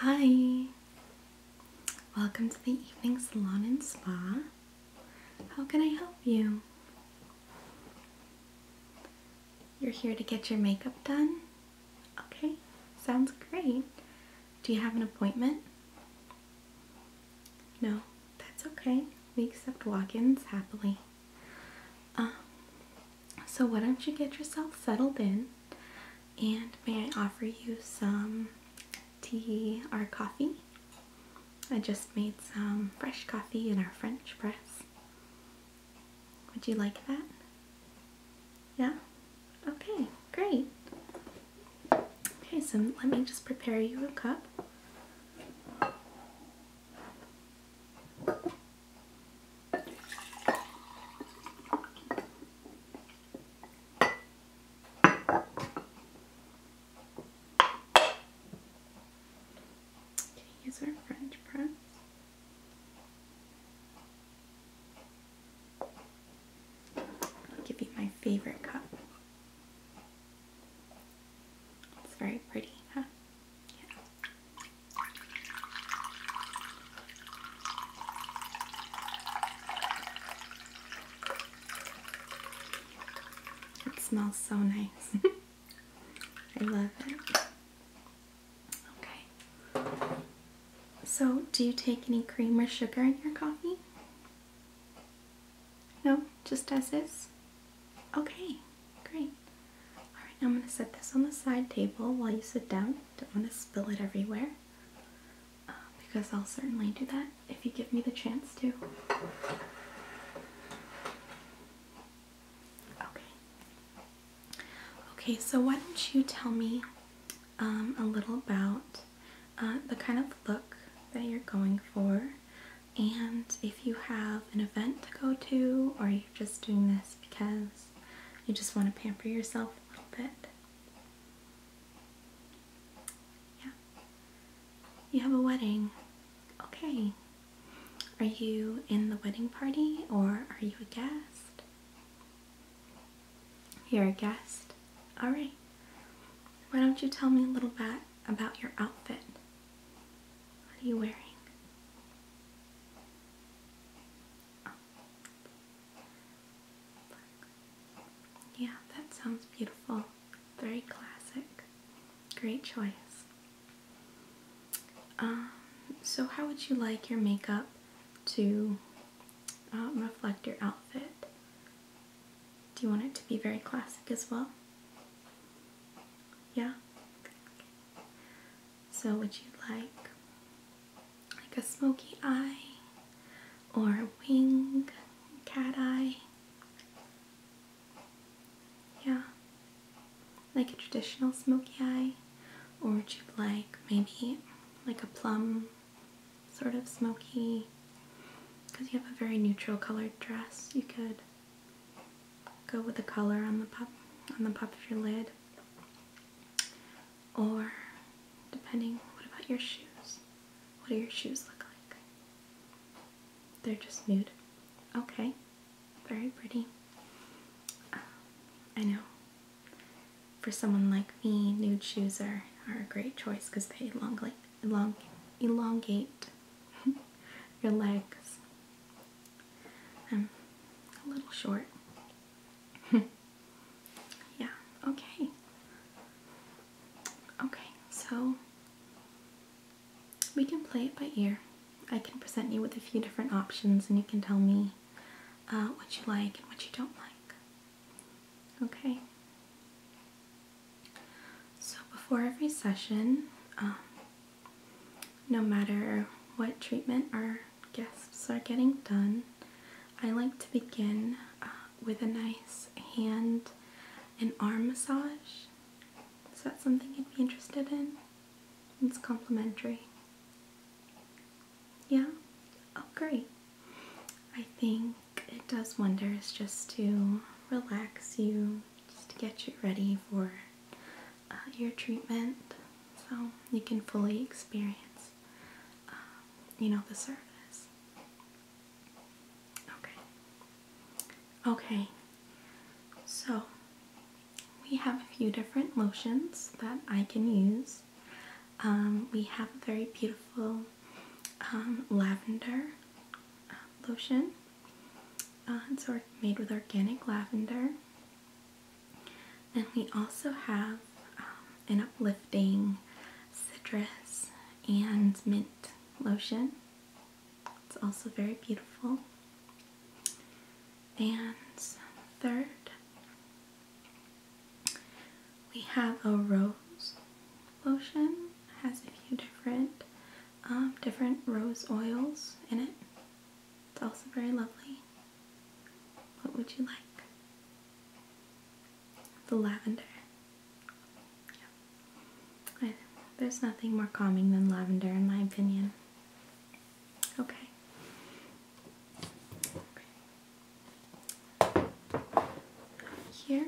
Hi! Welcome to the evening salon and spa. How can I help you? You're here to get your makeup done? Okay, sounds great. Do you have an appointment? No, that's okay. We accept walk-ins happily. Um, so, why don't you get yourself settled in? And may I offer you some tea or coffee? I just made some fresh coffee in our French press. Would you like that? Yeah? Okay, great. Okay, so let me just prepare you a cup use our French press. I'll give you my favorite cup. It's very pretty, huh? It smells so nice. I love it. Okay. So, do you take any cream or sugar in your coffee? No, just as is? Okay, great. I'm going to set this on the side table while you sit down. Don't want to spill it everywhere uh, because I'll certainly do that if you give me the chance to. Okay. Okay, so why don't you tell me um, a little about uh, the kind of look that you're going for and if you have an event to go to or you're just doing this because you just want to pamper yourself a little bit. Yeah. You have a wedding. Okay. Are you in the wedding party or are you a guest? You're a guest. All right. Why don't you tell me a little bit about your outfit? What are you wearing? Yeah, that sounds beautiful. Very classic. Great choice. Um, so, how would you like your makeup to um, reflect your outfit? Do you want it to be very classic as well? Yeah? So would you like like a smoky eye or a wing, cat eye? Yeah. Like a traditional smoky eye? Or would you like maybe like a plum sort of smoky because you have a very neutral colored dress you could go with the color on the pop on the pop of your lid or depending, what about your shoes? What do your shoes look like? They're just nude. Okay, very pretty. Um, I know. For someone like me, nude shoes are, are a great choice because they elongate, elongate your legs. I'm a little short, yeah, okay. Okay, so we can play it by ear. I can present you with a few different options and you can tell me uh, what you like and what you don't like. Okay. So before every session, um, no matter what treatment or guests are getting done, I like to begin uh, with a nice hand and arm massage. Is that something you'd be interested in? It's complimentary. Yeah? Oh, great. I think it does wonders just to relax you, just to get you ready for uh, your treatment so you can fully experience um, you know, the service. Okay. Okay. So, we have a few different lotions that I can use. Um, we have a very beautiful um, lavender lotion. Uh, it's made with organic lavender. And we also have um, an uplifting citrus and mint lotion. It's also very beautiful. And third, we have a rose lotion. has a few different um, different rose oils in it. It's also very lovely. What would you like? The lavender. there's nothing more calming than lavender, in my opinion. Okay. Here.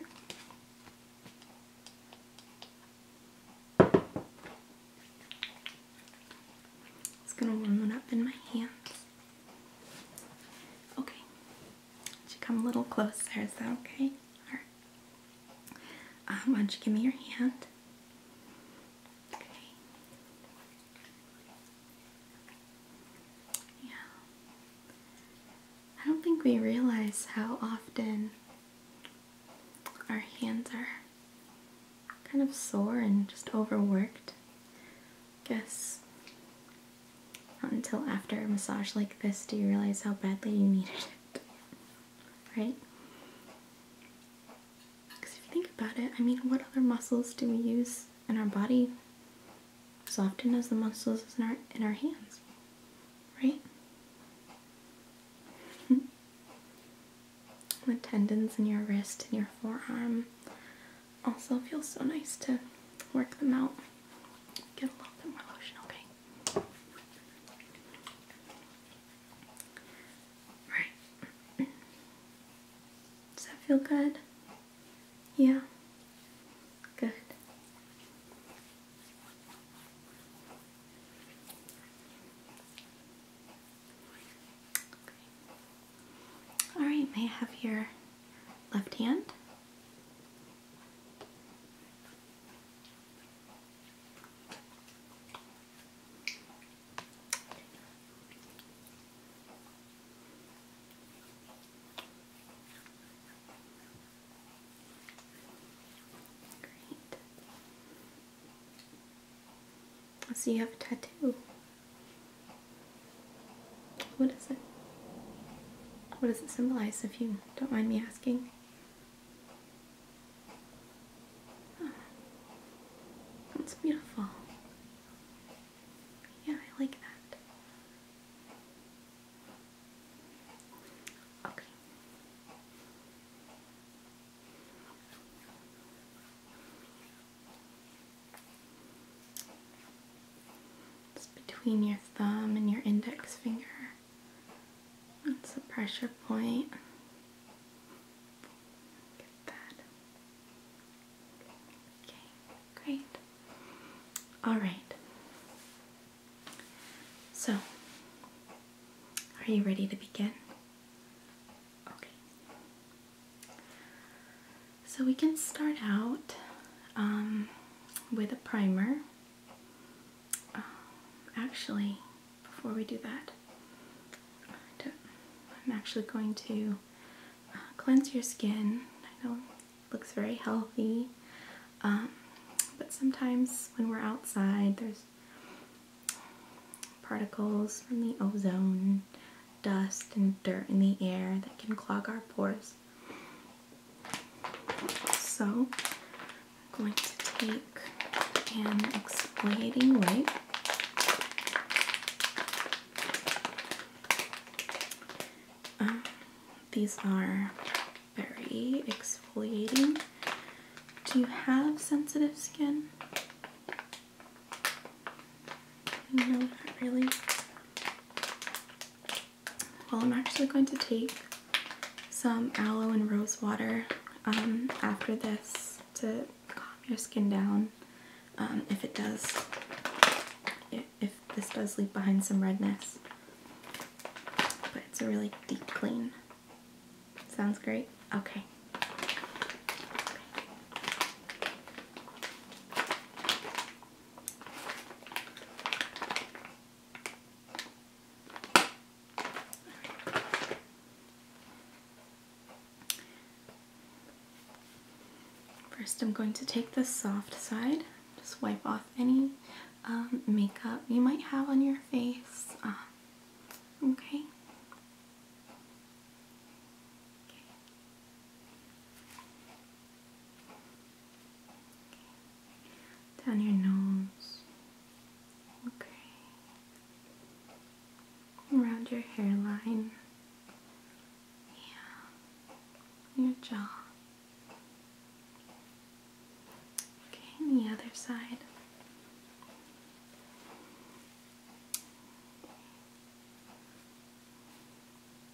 It's going to warm it up in my hands. Okay. Would you come a little closer? Is that okay? All right. Um, why don't you give me your hand? Okay. Yeah. I don't think we realize how often our hands are kind of sore and just overworked guess not until after a massage like this do you realize how badly you needed it. Right? Because if you think about it, I mean, what other muscles do we use in our body as often as the muscles in our, in our hands? Right? the tendons in your wrist and your forearm also, feels so nice to work them out. Get a little bit more lotion, okay? Alright. Does that feel good? Yeah? Good. All right, may I have your left hand? I see you have a tattoo. What is it? What does it symbolize, if you don't mind me asking? Oh, that's beautiful. Yeah, I like that. Okay. It's between your thumb and your index finger. That's the pressure point. Get that. Okay, great. Alright. So, are you ready to begin? Okay. So we can start out um, with a primer. Um, actually, before we do that, I'm actually going to uh, cleanse your skin. I know looks very healthy, um, but sometimes when we're outside, there's particles from the ozone dust and dirt in the air that can clog our pores. So, I'm going to take an exfoliating wipe. Um, these are very exfoliating. Do you have sensitive skin? No, not really. Well, I'm actually going to take some aloe and rose water um, after this to calm your skin down. Um, if it does, if this does leave behind some redness. But it's a really deep clean. Sounds great? Okay. First, I'm going to take the soft side, just wipe off any um, makeup you might have on your face. Uh, okay. Down your nose. Okay. Around your hairline. Yeah. Your jaw. Okay, the other side.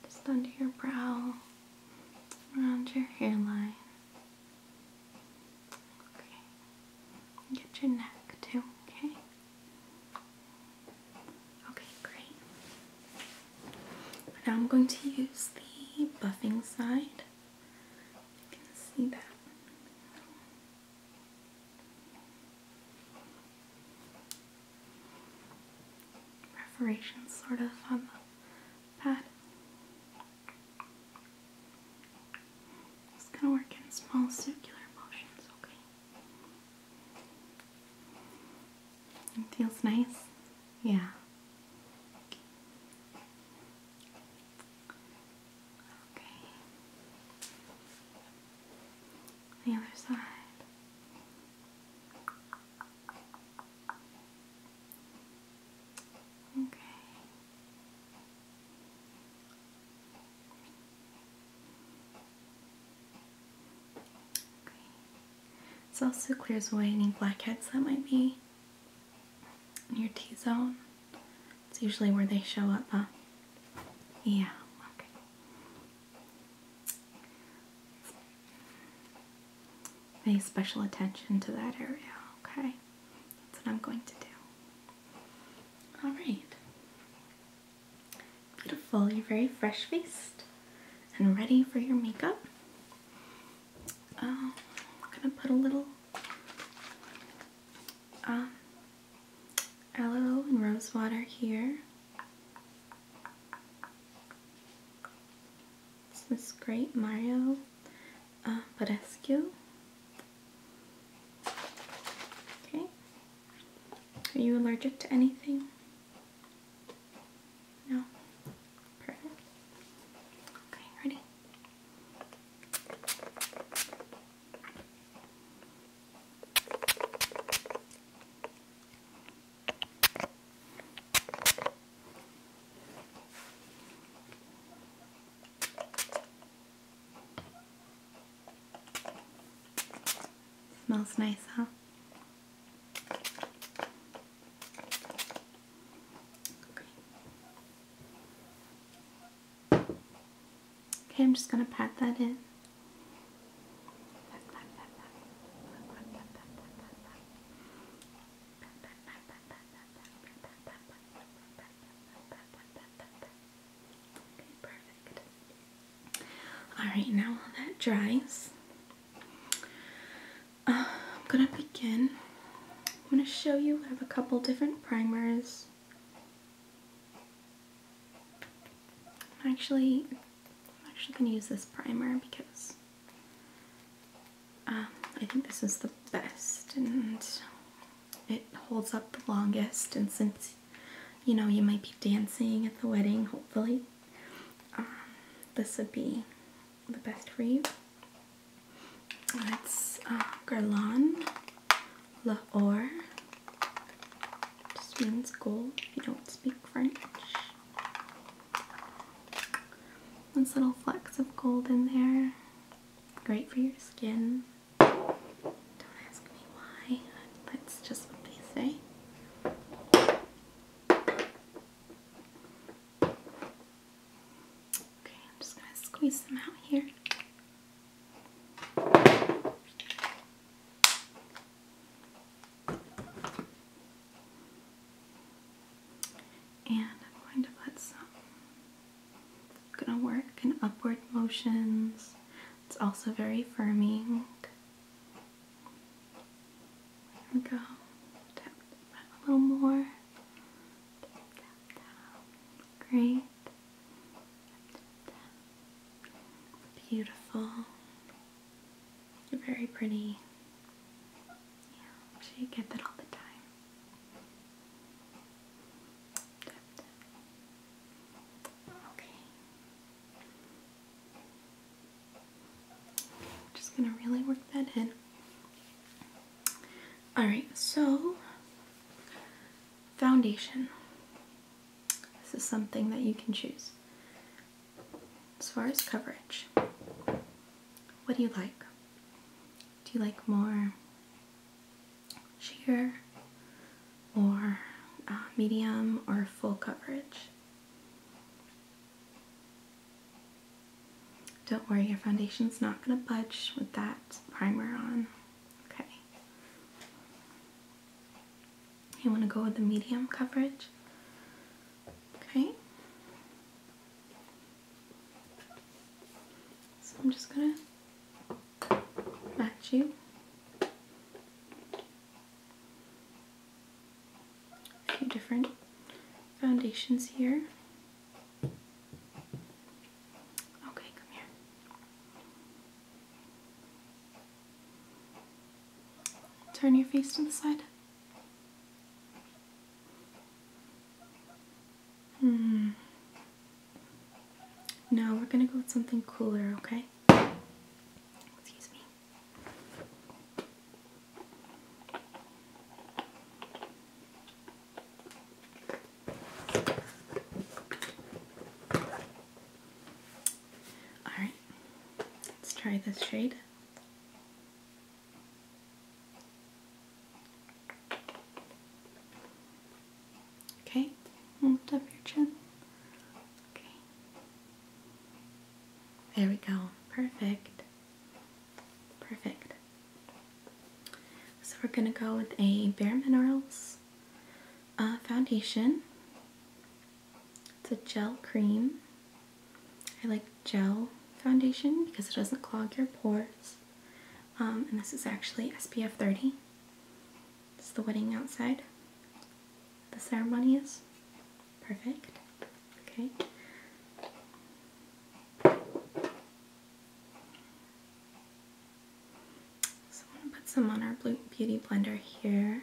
Just under your brow, around your hairline. Okay. Get your neck too, okay? Okay, great. Now I'm going to use the buffing side. You can see that perforations sort of on the pad. It's gonna work in small circular motions, okay? It feels nice. Yeah. Okay the other side. Okay. Okay. This also clears away any blackheads that might be in your T-zone. It's usually where they show up, huh? Yeah, okay. Pay special attention to that area, okay? That's what I'm going to do. Alright. Beautiful. You're very fresh faced and ready for your makeup. Um, I'm gonna put a little um, aloe and rose water here. It's this great Mario uh, Okay. Are you allergic to anything? No? Perfect. Okay, ready? Smells nice, huh? Okay, I'm just going to pat that in perfect. All right, now while that dries, uh, I'm gonna begin. I'm gonna show you. I have a couple different primers. Actually, I'm actually going to use this primer because um, I think this is the best and it holds up the longest and since you know you might be dancing at the wedding hopefully um, this would be the best for you. It's uh, Garland Guerlain L'Or just means gold if you don't speak French. Those little flecks of gold in there. Great for your skin. Don't ask me why. That's just what they say. Okay, I'm just going to squeeze them out here. And I'm going to put some, I'm gonna work in upward motions. It's also very firming. go. a little more. Great. Beautiful. You're Very pretty. Yeah, so you get that all the time. Okay. I'm just gonna really work that in. Alright, so foundation. This is something that you can choose. As far as coverage, what do you like? Do you like more sheer or uh, medium or full coverage? Don't worry, your foundation's not going to budge with that primer on. Okay. You want to go with the medium coverage? Okay. So I'm just going to match you. A few different foundations here. Okay, come here. Turn your face to the side. Hmm. Now we're gonna go with something cooler, okay? Excuse me. Alright, let's try this shade. Okay, lift up your chin. Okay. There we go. Perfect. Perfect. So we're going to go with a Bare Minerals uh, foundation. It's a gel cream. I like gel foundation because it doesn't clog your pores. Um, and this is actually SPF 30. It's the wedding outside. The ceremony is perfect. Okay. So I'm going to put some on our Beauty Blender here.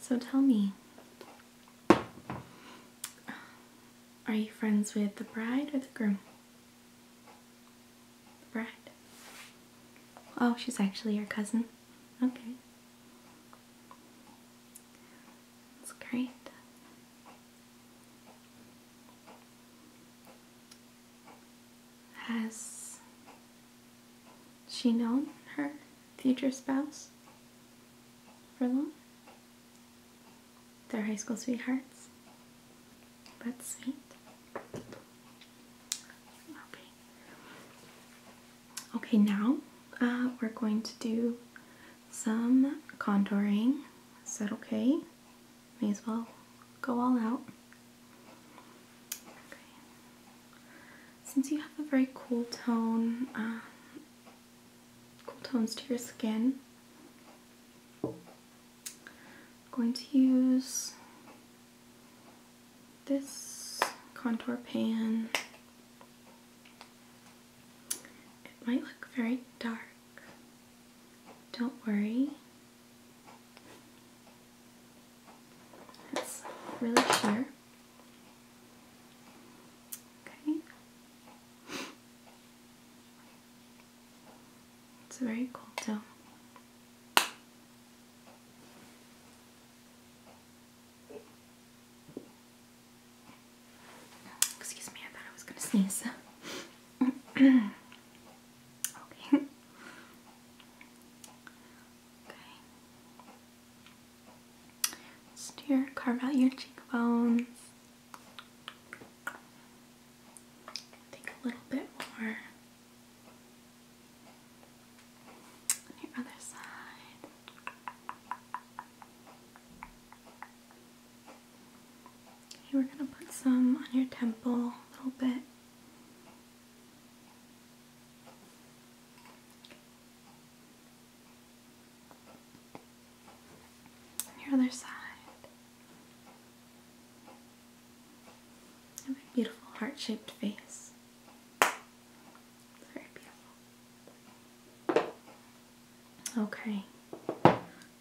So tell me, are you friends with the bride or the groom? The bride. Oh, she's actually your cousin. Okay. That's great. Has she known her future spouse for long? Their high school sweethearts. That's sweet. Okay. Okay, now uh, we're going to do some contouring. is that okay, may as well go all out. Since you have a very cool tone, um, cool tones to your skin, I'm going to use this contour pan it might look very dark. Don't worry. It's really sheer. Okay. It's very cool though. Excuse me, I thought I was gonna sneeze. okay. Okay. Steer, carve out your cheekbones. Take a little bit more your other side. Okay, we're going to put some on your temple a little bit. Your other side. have a beautiful heart-shaped face. It's very beautiful. Okay,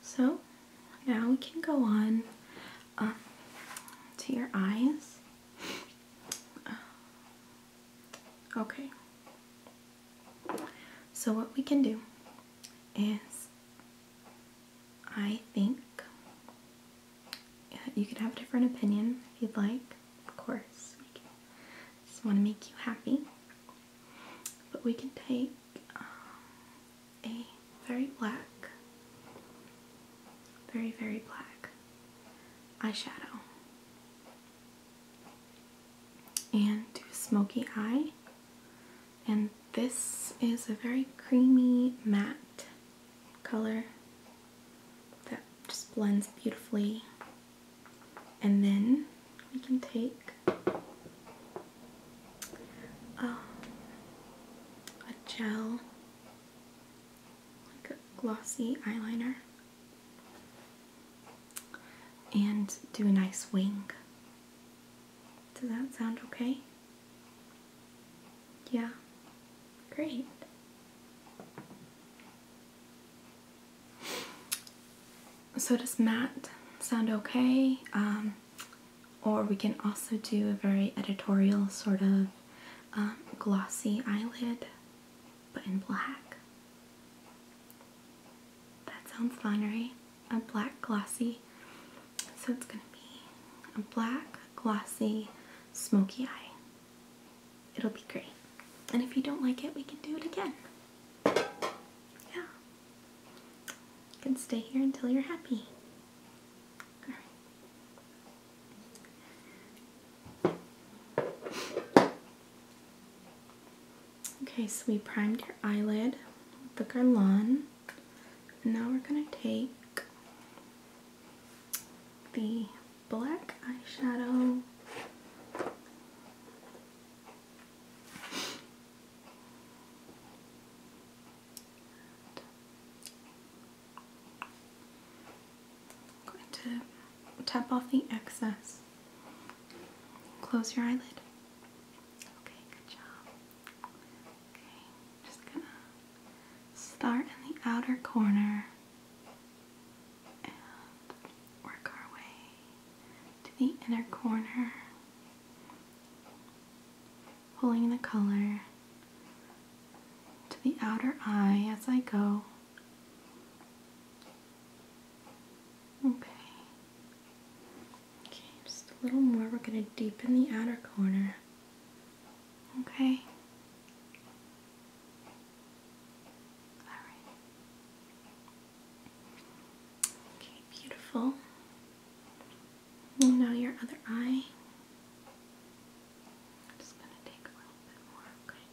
so now we can go on um, to your eyes. Okay, so what we can do is I think uh, you can have a different opinion if you'd like, of course. I just want to make you happy. But we can take um, a very black, very, very black eyeshadow and do a smoky eye. And this is a very creamy matte color that just blends beautifully and then we can take uh, a gel, like a glossy eyeliner, and do a nice wing. Does that sound okay? Yeah, great. So does Matt sound okay? Um, or we can also do a very editorial sort of um, glossy eyelid, but in black. That sounds fun, right? A black glossy. So it's gonna be a black glossy smoky eye. It'll be great. And if you don't like it, we can do it again. Yeah. You can stay here until you're happy. Okay, so we primed your eyelid with the Garlon. And now we're going to take the black eyeshadow going to tap off the excess. Close your eyelid. Okay, good job. Okay, just gonna start in the outer corner work our way to the inner corner, pulling the color to the outer eye as I go. Okay. Okay, just a little more. We're going to deepen the outer corner. Okay. All right. Okay, beautiful. now your other eye. I'm just going to take a little bit more, okay?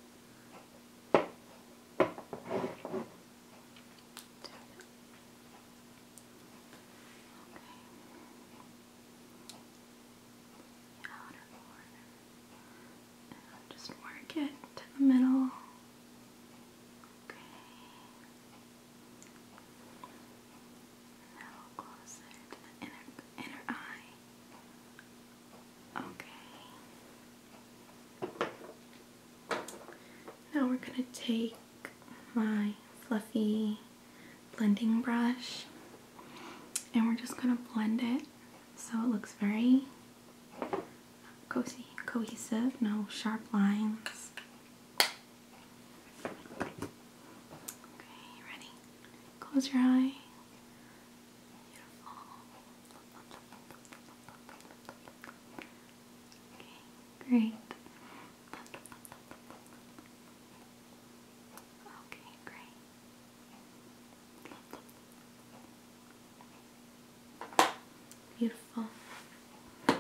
outer corner. And I'll just work to the middle. Okay. Now closer to the inner, inner eye. Okay. Now we're going to take my fluffy blending brush and we're just going to blend it so it looks very cozy, cohesive, no sharp lines. Okay, you ready? Close your eye. Okay, great. Okay, great. Beautiful. Okay,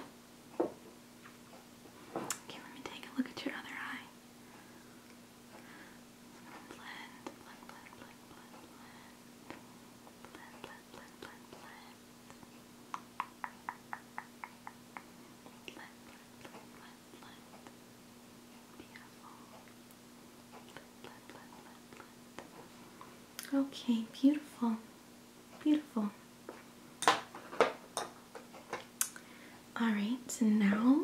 let me take a look at your other eye. Blend, blend, blend, blend, blend, blend, blend, blend, blend, blend. Blend, blend, blend, blend, blend. Beautiful. Blend, blend, blend, blend, blend. Okay, beautiful, beautiful. All right, so now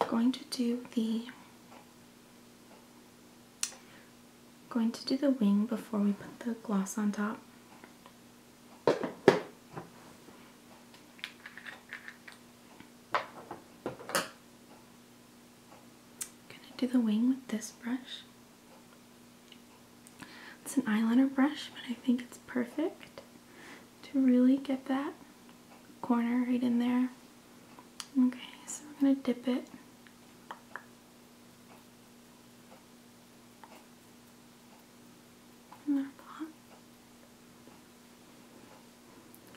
I'm going to do the going to do the wing before we put the gloss on top. I'm gonna do the wing with this brush. It's an eyeliner brush, but I think it's perfect to really get that corner right in there. Okay, so I'm gonna dip it. In our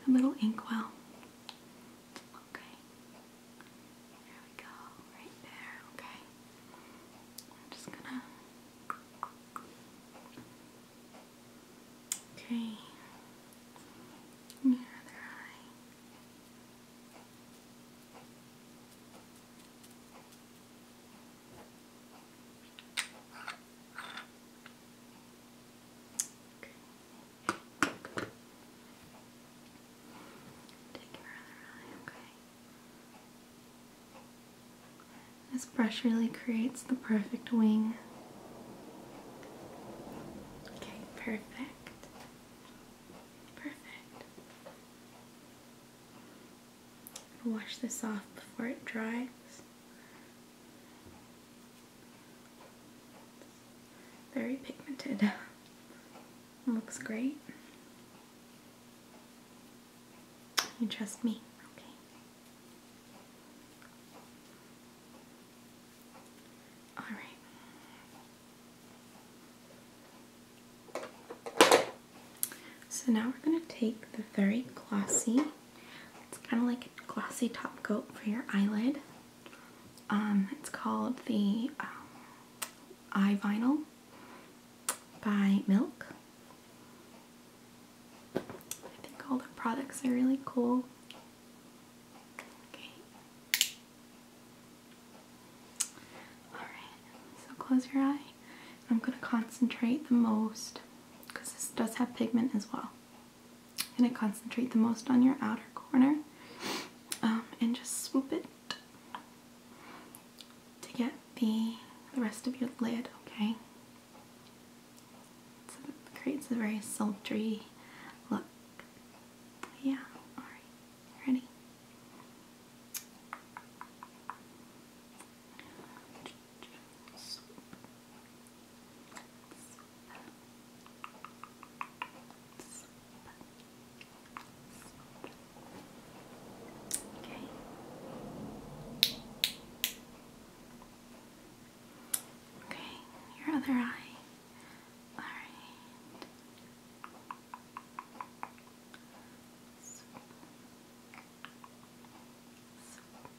A little ink well. Okay. There we go, right there, okay. I'm just gonna. Okay. Near eye. Okay. This brush really creates the perfect wing. Okay, perfect. Perfect. Wash this off before it dries. Very pigmented. Looks great. You trust me, okay? All right. So now we're going to take the very glossy. It's kind of like a glossy top coat for your eyelid. Um, it's called the um, Eye Vinyl by Milk. I think all the products are really cool. Okay. Alright, so close your eye. I'm going to concentrate the most because this does have pigment as well i going to concentrate the most on your outer corner um, and just swoop it to get the, rest of your lid, okay? it creates a very sultry look. Yeah, Ready? Okay. Okay, your other eye. All right. Swoop. Swoop.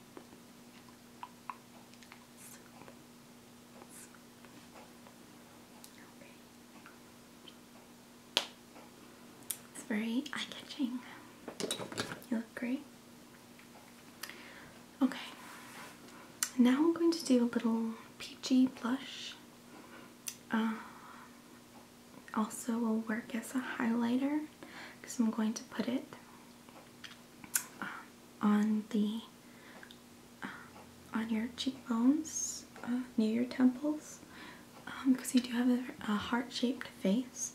It's very eye-catching. You look great. Okay. Now I'm going to do a little peachy blush. Uh, also will work as a highlighter because I'm going to put it uh, on the uh, on your cheekbones, uh, near your temples, because um, you do have a, heart-shaped face.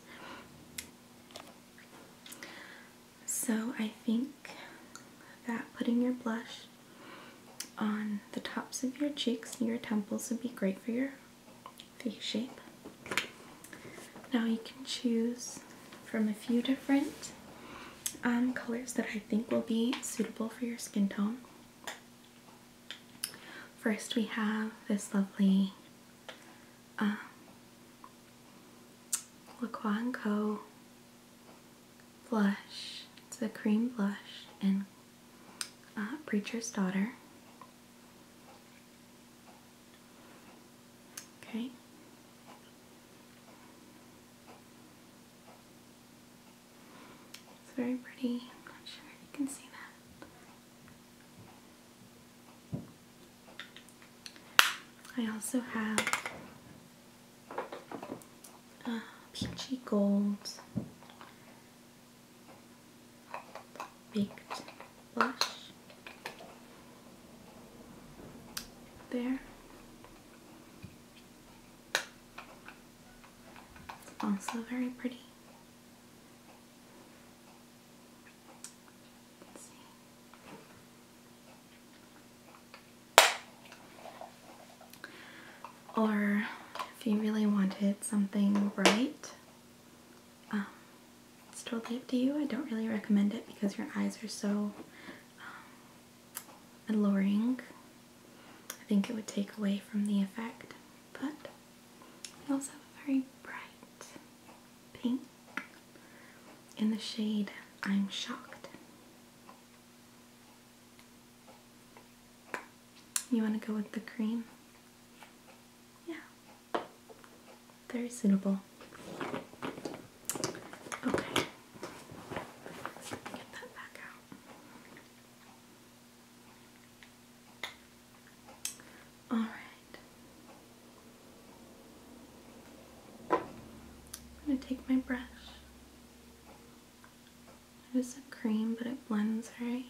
So I think that putting your blush on the tops of your cheeks and your temples would be great for your face shape. Now you can choose from a few different um, colors that I think will be suitable for your skin tone. First, we have this lovely um, Co. blush. It's a cream blush in uh, Preacher's Daughter. Okay. It's very pretty. I'm not sure if you can see that. I also have uh, peachy gold baked blush there. Also very pretty. Or if you really wanted something bright, um, it's totally up to you. I don't really recommend it because your eyes are so um, alluring. I think it would take away from the effect, but we also have a very bright pink in the shade I'm Shocked. You want to go with the cream? Yeah, very suitable. Okay. Get that back out. All right. I'm going to take my brush. It is a cream, but it blends very,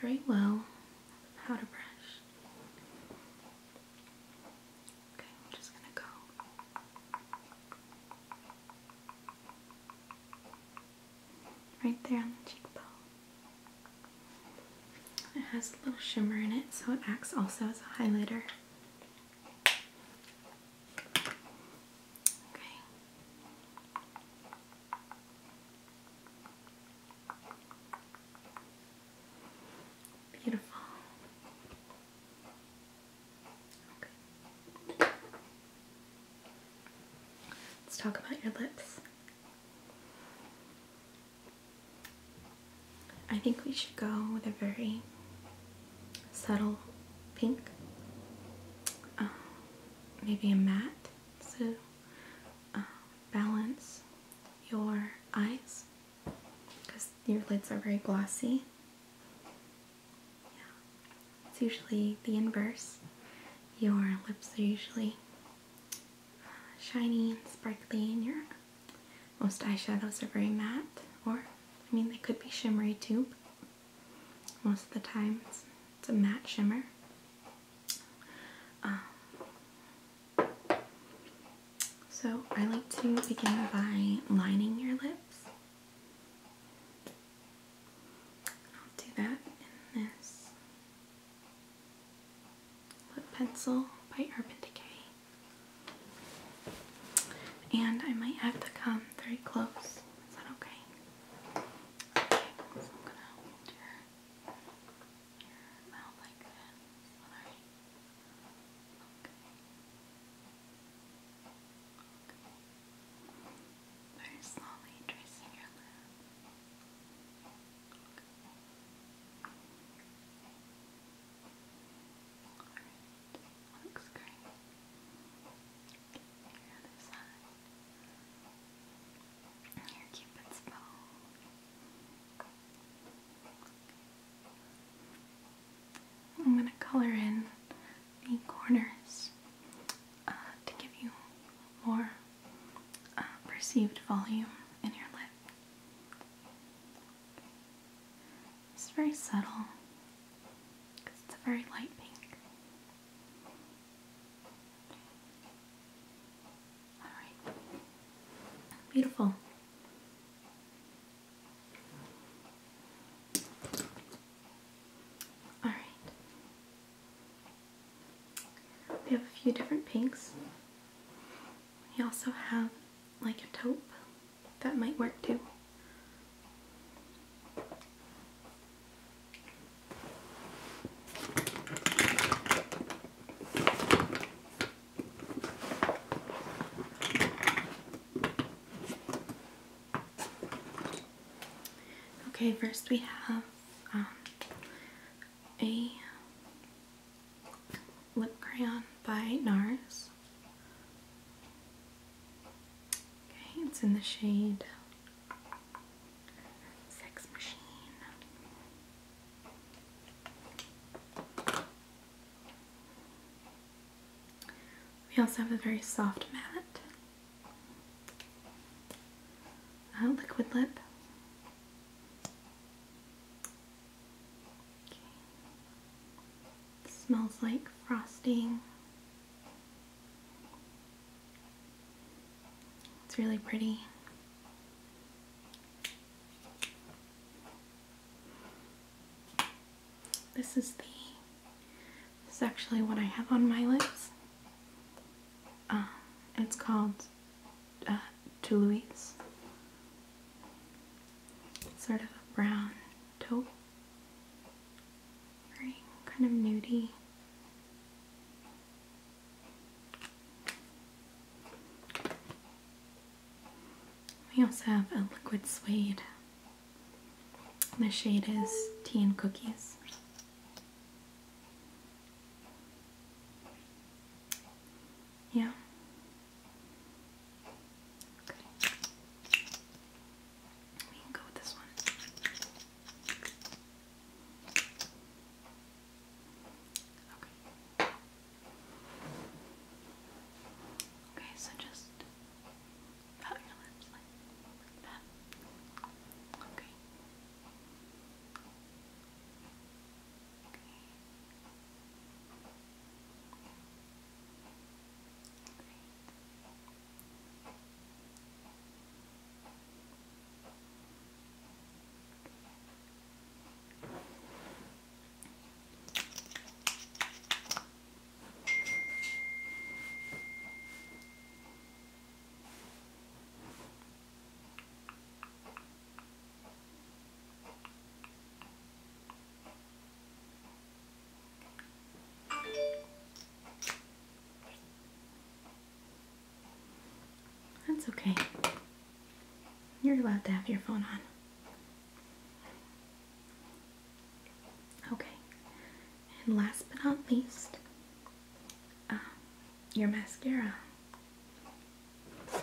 very well How to brush. Okay, I'm just gonna go. Right there on the cheekbone. It has a little shimmer in it, so it acts also as a highlighter. Okay. Beautiful. Let's talk about your lips. I think we should go with a very subtle pink. Um, maybe a matte to uh, balance your eyes because your lids are very glossy. Yeah. It's usually the inverse. Your lips are usually uh, shiny and sparkly, and your most eyeshadows are very matte, or I mean, they could be shimmery too. Most of the time, it's, a matte shimmer. Um, so I like to begin by lining your lips. I'll do that in this lip pencil by Urban Decay. And I might have to come very close. Is that okay? Okay, I'm gonna hold your mouth like this. Alright. Okay. Very slowly tracing your lip. Alright, looks great. Your other side. Your cupid's bow. I'm going to color in the corners uh, to give you more uh, perceived volume in your lip. It's very subtle because it's a very light pink. Alright. Beautiful. All right. We have a few different pinks. We also have like a taupe that might work too. Okay, first we have um, a lip crayon by NARS. Okay, it's in the shade Sex Machine. We also have a very soft matte liquid lip. smells like frosting. It's really pretty. This is the, this is actually what I have on my lips. Uh, it's called uh, Toulouse. sort of brown taupe. kind of nudie. We also have a liquid suede. The shade is Tea and Cookies. Yeah. We can go with this one. Okay. Okay, so just Pat your lips like, that. Okay. Okay. That's okay. You're allowed to have your phone on. Okay, and last but not least, uh, your mascara. This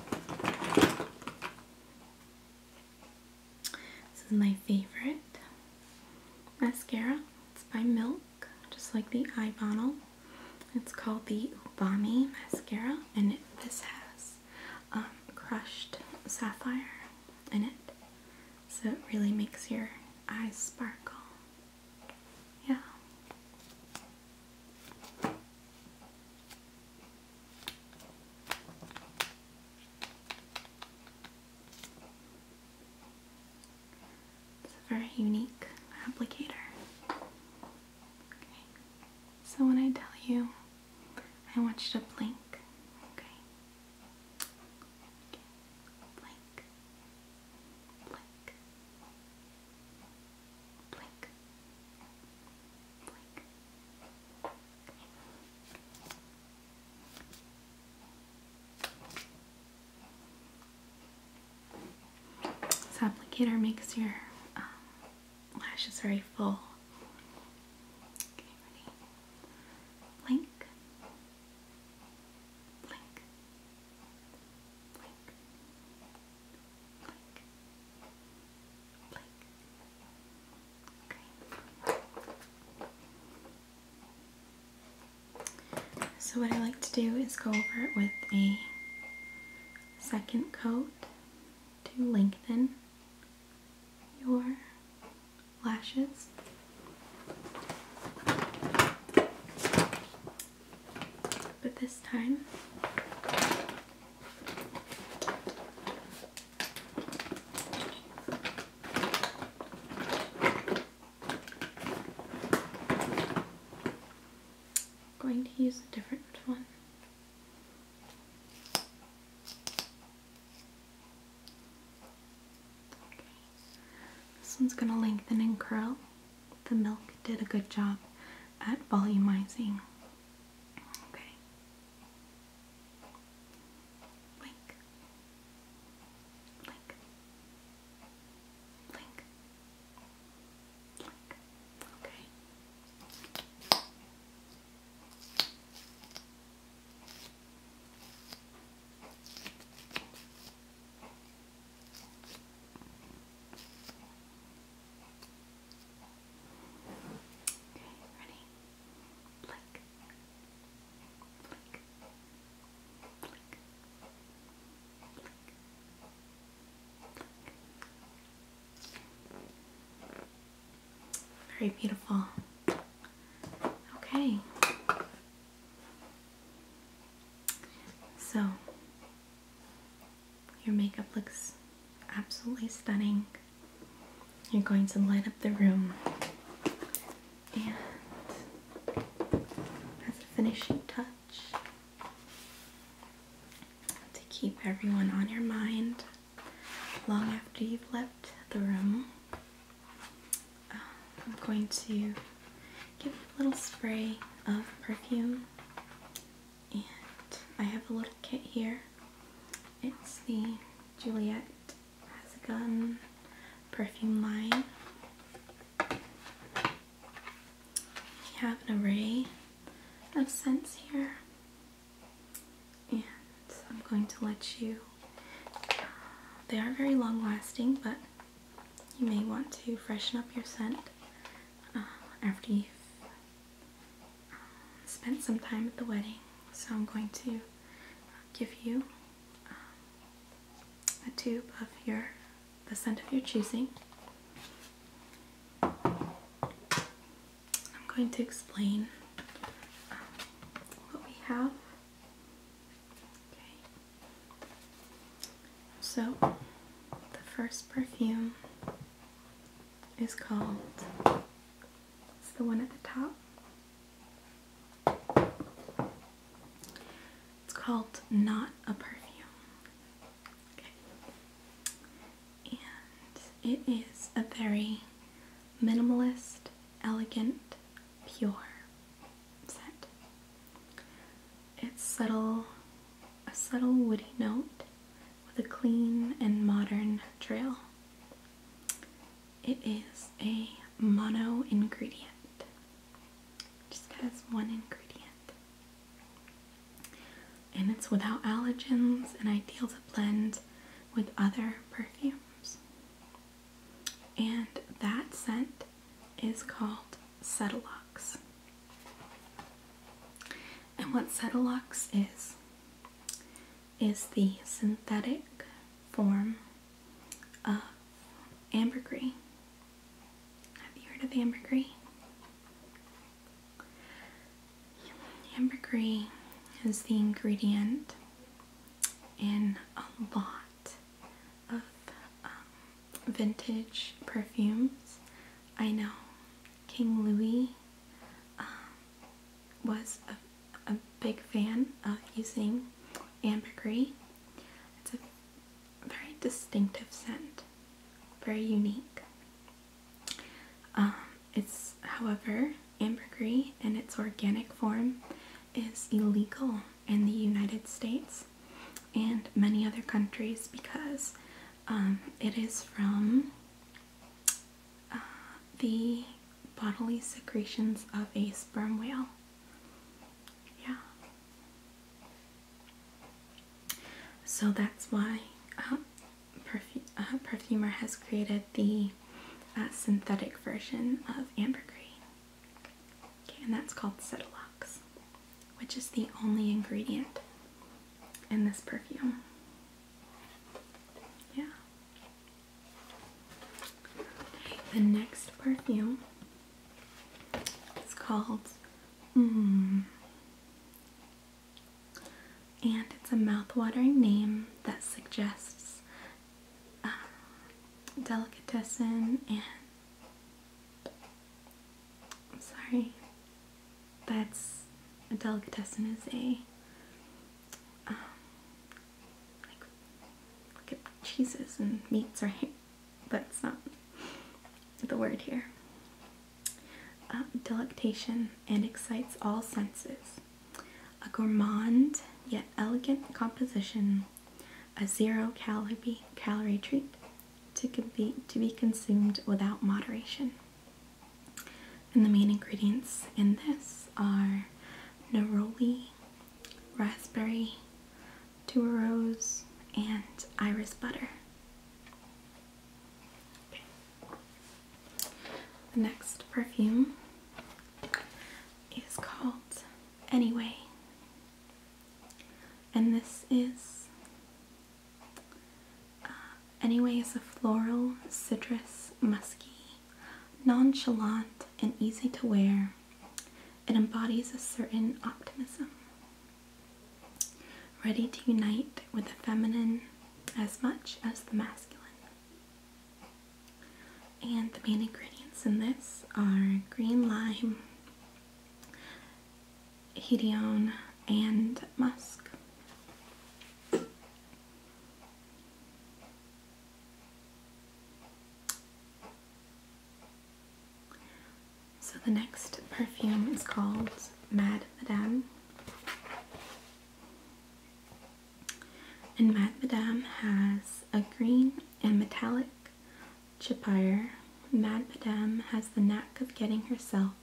is my favorite mascara. It's by Milk, just like the eye bottle. It's called the Ubami mascara, and this has um, crushed sapphire in it. So it really makes your eyes sparkle. Yeah. It's a very unique applicator. Okay. So when I tell you, I want you to blink. Okay blink, This applicator makes your um, lashes very full blink, blink, blink, blink, blink. Okay. So what I like to do is go over it with a second coat to lengthen your lashes. But this time, I'm going to use a different one. This one's going to lengthen and curl. The milk did a good job at volumizing. Okay ready? Blink. Blink. Blink. Blink. Blink. Very beautiful. Okay. So, your makeup looks absolutely stunning. You're going to light up the room. And as a finishing touch, to keep everyone on your mind long after you've left the room. Um, I'm going to give a little spray of perfume and I have a little kit here. It's the Juliet Has a Gun perfume line. We have an array of scents here and I'm going to let you, they are very long lasting, but you may want to freshen up your scent uh, after you've uh, spent some time at the wedding. So I'm going to give you uh, a tube of your, the scent of your choosing. I'm going to explain what we have Okay. So, the first perfume is called, it's the one at the top. It's called Not a Perfume. Okay. And it is a very minimalist elegant, pure scent. It's subtle, a subtle woody note with a clean and modern trail. It is a mono ingredient. Just has one ingredient. And it's without allergens and ideal to blend with other perfumes and that scent is called Cetilox. And what Cetilox is, is the synthetic form of ambergris. Have you heard of ambergris? Ambergris is the ingredient in a lot of um, vintage perfumes. I know King Louis um, was a, big fan of using ambergris. It's a very distinctive scent, very unique. Um, it's, however, Ambergris in its organic form is illegal in the United States and many other countries because um, it is from uh, the bodily secretions of a sperm whale. Yeah. So that's why uh, uh Perfumer has created the a synthetic version of ambergris. and that's called Cetilox, which is the only ingredient in this perfume. Yeah. The next perfume is called mm, And it's a mouthwatering name that suggests um, delicatessen and sorry that's a delicatessen is a um, like cheeses and meats right but it's not the word here um, delectation and excites all senses a gourmand yet elegant composition, a zero calorie, treat to, be, consumed without moderation. And the main ingredients in this are neroli, raspberry, tuberose, and iris butter. The next perfume is called Anyway. And this is, uh, Anyway is a floral, citrus, musky, nonchalant, and easy to wear. It embodies a certain optimism, ready to unite with the feminine as much as the masculine. And the main ingredients in this are green lime, hedione, and musk. So the next perfume is called Mad Madame. And Mad has a green and metallic chapire. Mad has the knack of getting herself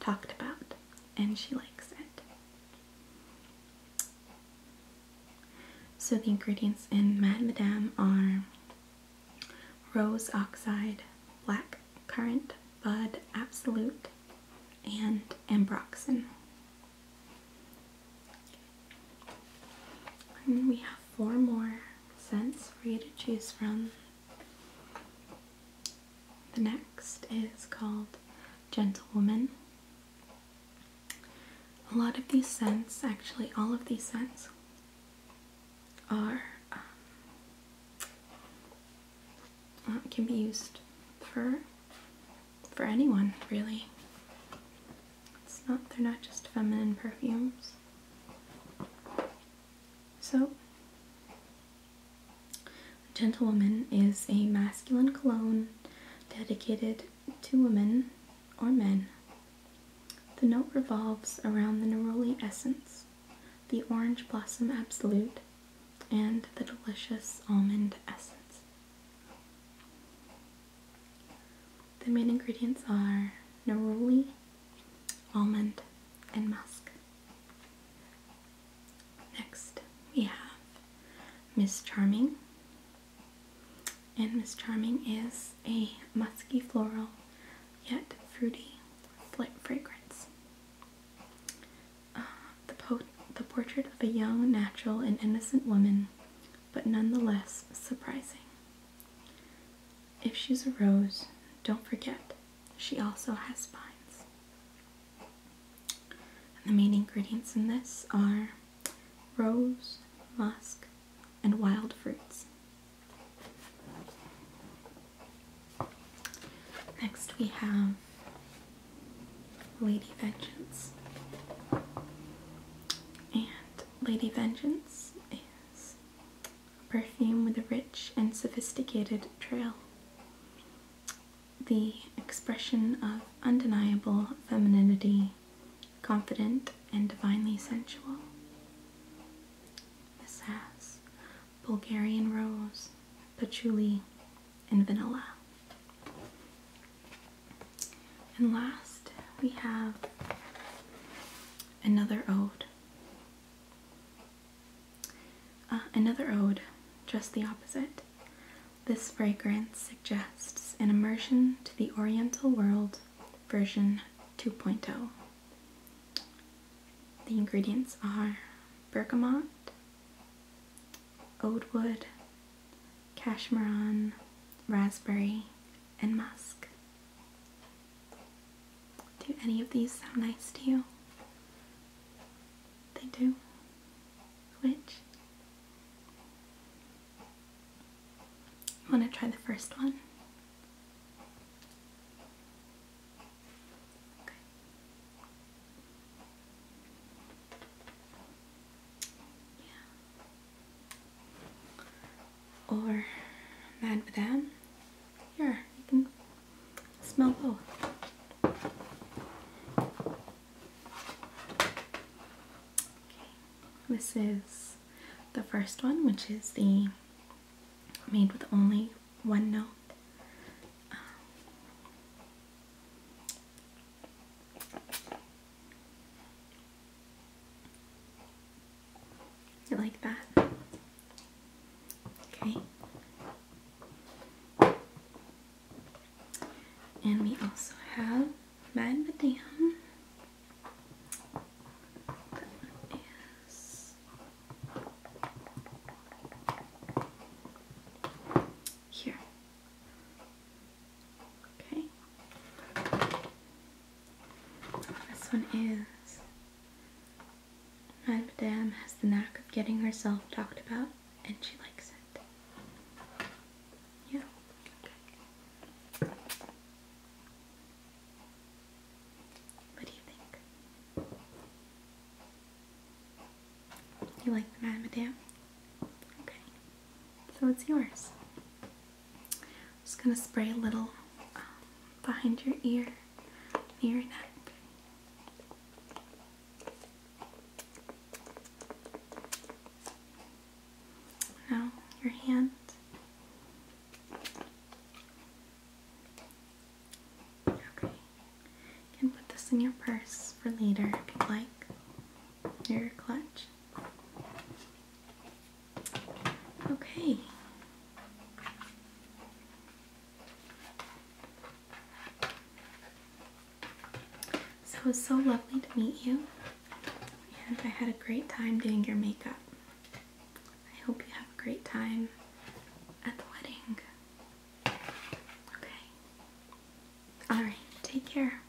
talked about, and she likes it. So the ingredients in Mad are rose oxide, black currant, bud absolute, and ambroxan. And we have four more scents for you to choose from. The next is called Gentlewoman. A lot of these scents, actually, all of these scents, are um, uh, can be used for for anyone, really. It's not, they're not just feminine perfumes. So, Gentlewoman is a masculine cologne dedicated to women or men. The note revolves around the neroli essence, the orange blossom absolute, and the delicious almond essence. The main ingredients are neroli, almond, and musk. Next, we have Miss Charming. And Miss Charming is a musky floral yet fruity fragrance. Uh, the, po the portrait of a young, natural, and innocent woman but nonetheless surprising. If she's a rose, don't forget, she also has spines. the main ingredients in this are rose, musk, and wild fruits. Next we have Lady Vengeance. And Lady Vengeance is a perfume with a rich and sophisticated trail. The expression of undeniable femininity, confident and divinely sensual. This has Bulgarian rose, patchouli, and vanilla. And last, we have another ode. Uh, another ode, just the opposite. This fragrance suggests an immersion to the Oriental world version 2.0. The ingredients are bergamot, oudwood, cashmeron, raspberry, and musk. Do any of these sound nice to you? They do? Which? I want to try the first one? Okay. Yeah. Or Mad them. Here, you can smell both. Okay. This is the first one, which is the made with only one note. Um, I like that? Okay. And we also have Mad Madame. That one is here. Okay. This one is Madame has the knack of getting herself talked about and she likes it. Yeah. What do you think? You like the Madame? Okay. So it's yours. just going to spray a little um, behind your ear, near your neck. Now, your hand. Okay. can put this in your purse for later if you like. Your clutch. Okay. So it was so lovely to meet you, and I had a great time doing your makeup. I hope you have a great time at the wedding. Okay. Alright, take care.